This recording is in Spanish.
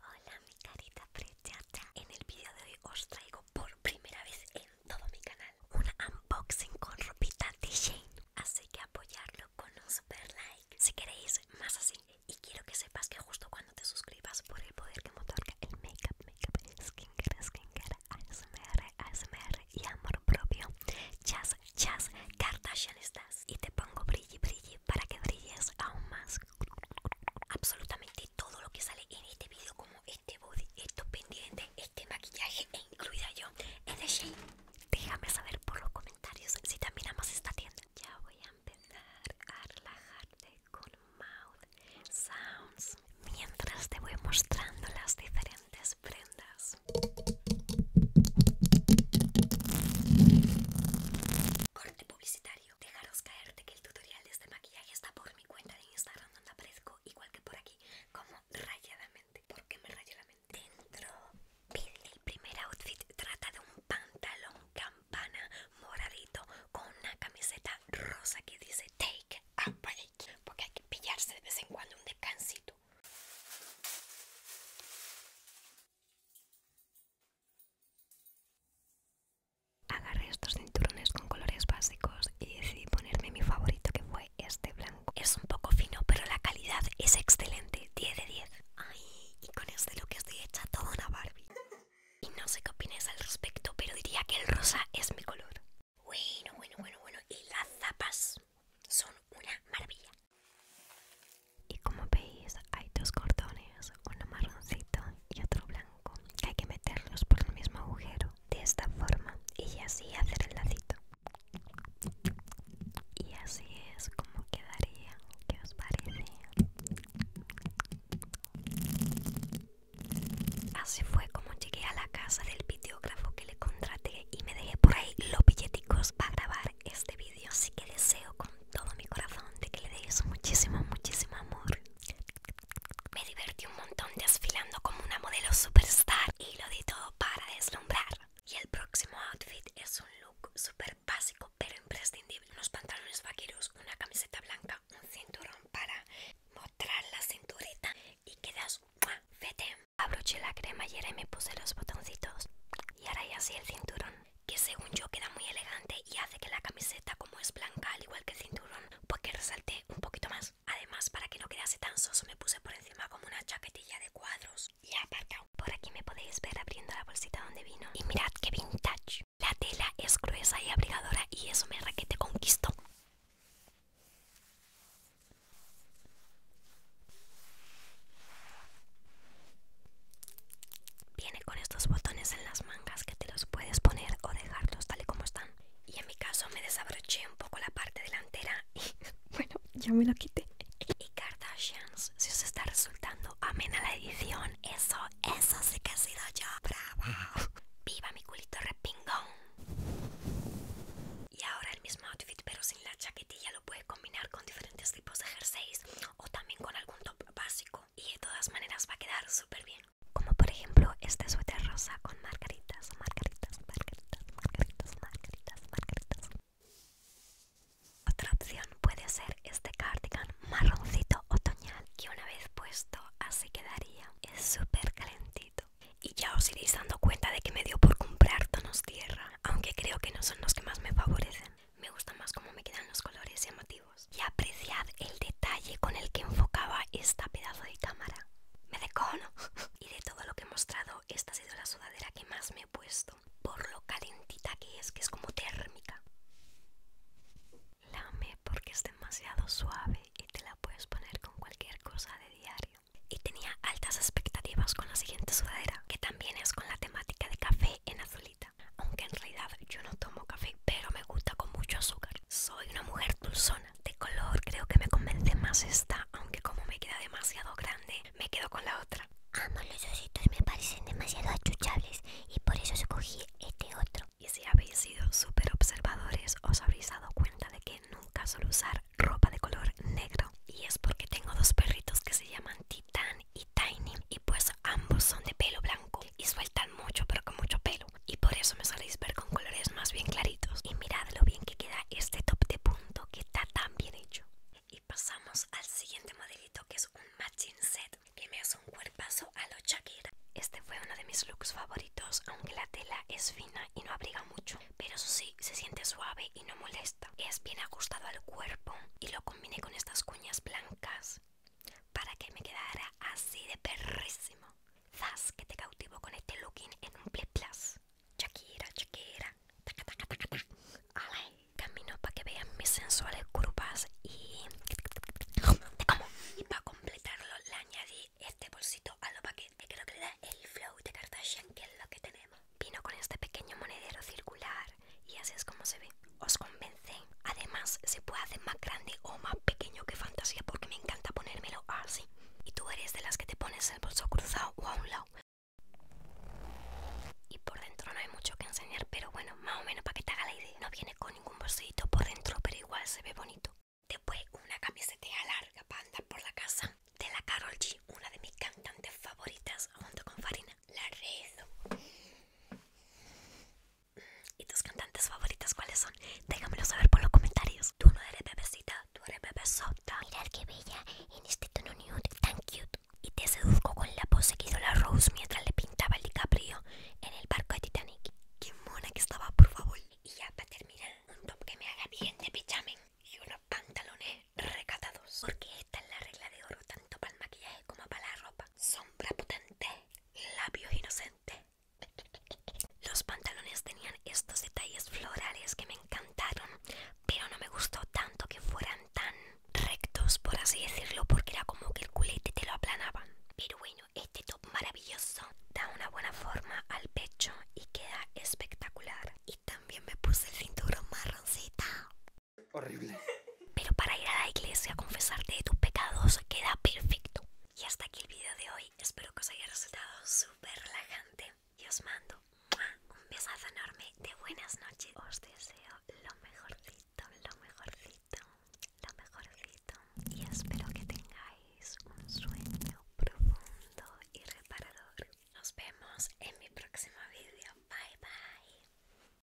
Hola mi carita preciosa. En el vídeo de hoy os traigo por primera vez en todo mi canal una unboxing con ropita de Shane. Así que apoyarlo con un super like. Si queréis más así. Y quiero que sepas que justo cuando te suscribas por el poder que me otorga el makeup, makeup, skincare, skincare, ASMR, ASMR y amor propio. Chas, chas, Kardashian estás. Y te pongo brilli, brilli para que brilles aún más absolutamente todo lo que sale en este video como este body, estos pendientes, este maquillaje e incluida yo en de Shade. Déjame saber por los comentarios si también amas esta tienda. Ya voy a empezar a relajarte con mouth sounds mientras te voy mostrando las diferentes prendas. Corte publicitario. Dejaros caerte que el tutorial de este maquillaje está por mi cuenta de Instagram donde aparezco igual que por aquí como rayadamente. porque me rayé Dentro, el primer outfit trata de un pantalón campana moradito con una camiseta rosa que dice Take a Break porque hay que pillarse de vez en cuando un descansito. Agarré estos cinturones con colores básicos y decidí ponerme mi favorito que fue este blanco. Es un poco fino, pero la calidad es excelente, 10 de 10. Ay, y con este look estoy hecha toda una Barbie. Y no sé qué opináis al respecto, pero diría que el rosa es mi color. Bueno, bueno, bueno, bueno. Y las zapas son una maravilla y como veis hay dos cordones, uno marroncito y otro blanco que hay que meterlos por el mismo agujero de esta forma y así hacer el lacito y así es como quedaría ¿qué os parece? así fue como llegué a la casa del videógrafo que le contraté y me dejé por ahí los billeticos para grabar este video yo sí que deseo con todo mi corazón de que le deis muchísimo, muchísimo amor. Me divertí un montón desfilando como una modelo superstar y lo di todo para deslumbrar. Y el próximo outfit es un look super básico pero imprescindible. Unos pantalones vaqueros, una camiseta blanca, un cinturón para mostrar la cinturita y quedas fete. Abroché la cremallera y me puse los botoncitos y ahora ya sí el cinturón que según yo queda muy elegante y hace que la camiseta como es blanca al igual que el cinturón pues que resalte un poquito más además para que no quedase tan soso me puse por encima como una chaquetilla de cuadros y cargado por aquí me podéis ver abriendo la bolsita donde vino y mirad qué vintage la tela es gruesa y abrigadora y eso me raquete conquistó Viene con estos botones en las mangas que te los puedes poner o dejarlos tal y como están. Y en mi caso me desabroché un poco la parte delantera y bueno, ya me lo quité. Y Kardashians, si os está resultando amena la edición, eso, eso sí que ha sido yo, bravo. Viva mi culito repingón. Y ahora el mismo outfit pero sin la chaquetilla lo puedes combinar con diferentes tipos de jerseys o también con algún top básico y de todas maneras va a quedar súper bien. Como por ejemplo este suéter rosa con margaritas, margaritas, margaritas, margaritas, margaritas, margaritas. Otra opción puede ser este cardigan marroncito otoñal que una vez puesto así quedaría. Es súper calentito. Y ya os iréis dando cuenta de que me dio por comprar tonos tierra, aunque creo que no son los que más me favorecen me gusta más cómo me quedan los colores y llamativos. Y apreciad el detalle con el que enfocaba esta pedazo de cámara. Me decono. y de todo lo que he mostrado, esta ha sido la sudadera que más me he puesto. Por lo calentita que es, que es como térmica. La amé porque es demasiado suave y te la puedes poner con cualquier cosa de diario. Y tenía altas expectativas con la siguiente sudadera, que también es con la temática de café en azulito. Aunque en realidad yo no tomo café, pero me gusta con mucho azúcar. Soy una mujer dulzona. De color creo que me convence más esta, aunque como me queda demasiado grande, me quedo con la otra. Amo los ositos, me parecen demasiado achuchables y por eso escogí este otro. Y si habéis sido súper observadores, os habréis dado cuenta de que nunca suelo usar ropa de color negro. Y es porque tengo dos perritos que se llaman Titan y Tiny pues ambos son de pelo blanco y sueltan mucho pero con mucho pelo y por eso me soléis ver con colores más bien claritos y mirad lo bien que queda este top de punto que está tan bien hecho y pasamos al siguiente modelito que es un matching set que me hace un cuerpazo a lo Shakira este fue uno de mis looks favoritos aunque la tela es fina y no abriga mucho pero eso sí se siente suave y no molesta es bien ajustado al cuerpo y lo combine con estas cuñas blancas para que me quedara así de perrísimo. Zas, que te cautivo con este looking en un plus plus Shakira, Shakira, Camino para que vean mis sensuales curvas y te como. Y para completarlo le añadí este bolsito a lo paquete que creo que le da el flow de Kardashian que es lo que tenemos. Vino con este pequeño monedero circular y así es como se ve. Os convence. Además se puede hacer más grande o más pequeño que fantasía porque me encanta ponérmelo así. Y tú eres de las que te pones el bolso cruzado o a un lado. Y por dentro no hay mucho que enseñar, pero bueno, más o menos para que te haga la idea. No viene con ningún bolsito por dentro, pero igual se ve bonito. Después una camiseta larga para andar por la casa de la Carol G, una de mis cantantes favoritas junto con Farina la regla. ¿Y tus cantantes favoritas cuáles son? Déjamelo saber por los comentarios. Tú no eres bebecita, tú eres bebesota. Mirad qué bella en este tono nude, tan cute. Y te seduzco con la pose que hizo la Rose mientras le pintaba el DiCaprio en el barco de Titanic. Qué mona que estaba, por favor. Y ya para terminar, un top que me haga bien de pijamen y unos pantalones recatados. Porque esta es la regla de oro tanto para el maquillaje como para la ropa. Sombra potente, labios inocentes. Los pantalones tenían estos detalles florales que me encantaron, pero no me gustó tanto que fueran tan rectos, por así decirlo, porque era como que el culete te lo aplanaban. Pero bueno, este top maravilloso da una buena forma al pecho y queda espectacular. Y también me puse el cinturón marroncita. Horrible. Pero para ir a la iglesia a confesarte de tus pecados queda perfecto. Y hasta aquí el video de hoy. Espero que os haya resultado súper relajante. Y os mando un besazo enorme de buenas noches. Os deseo lo mejorcito, lo mejorcito, lo mejorcito. Y espero que tengáis un sueño profundo y reparador. Nos vemos en mi próximo video. Bye bye.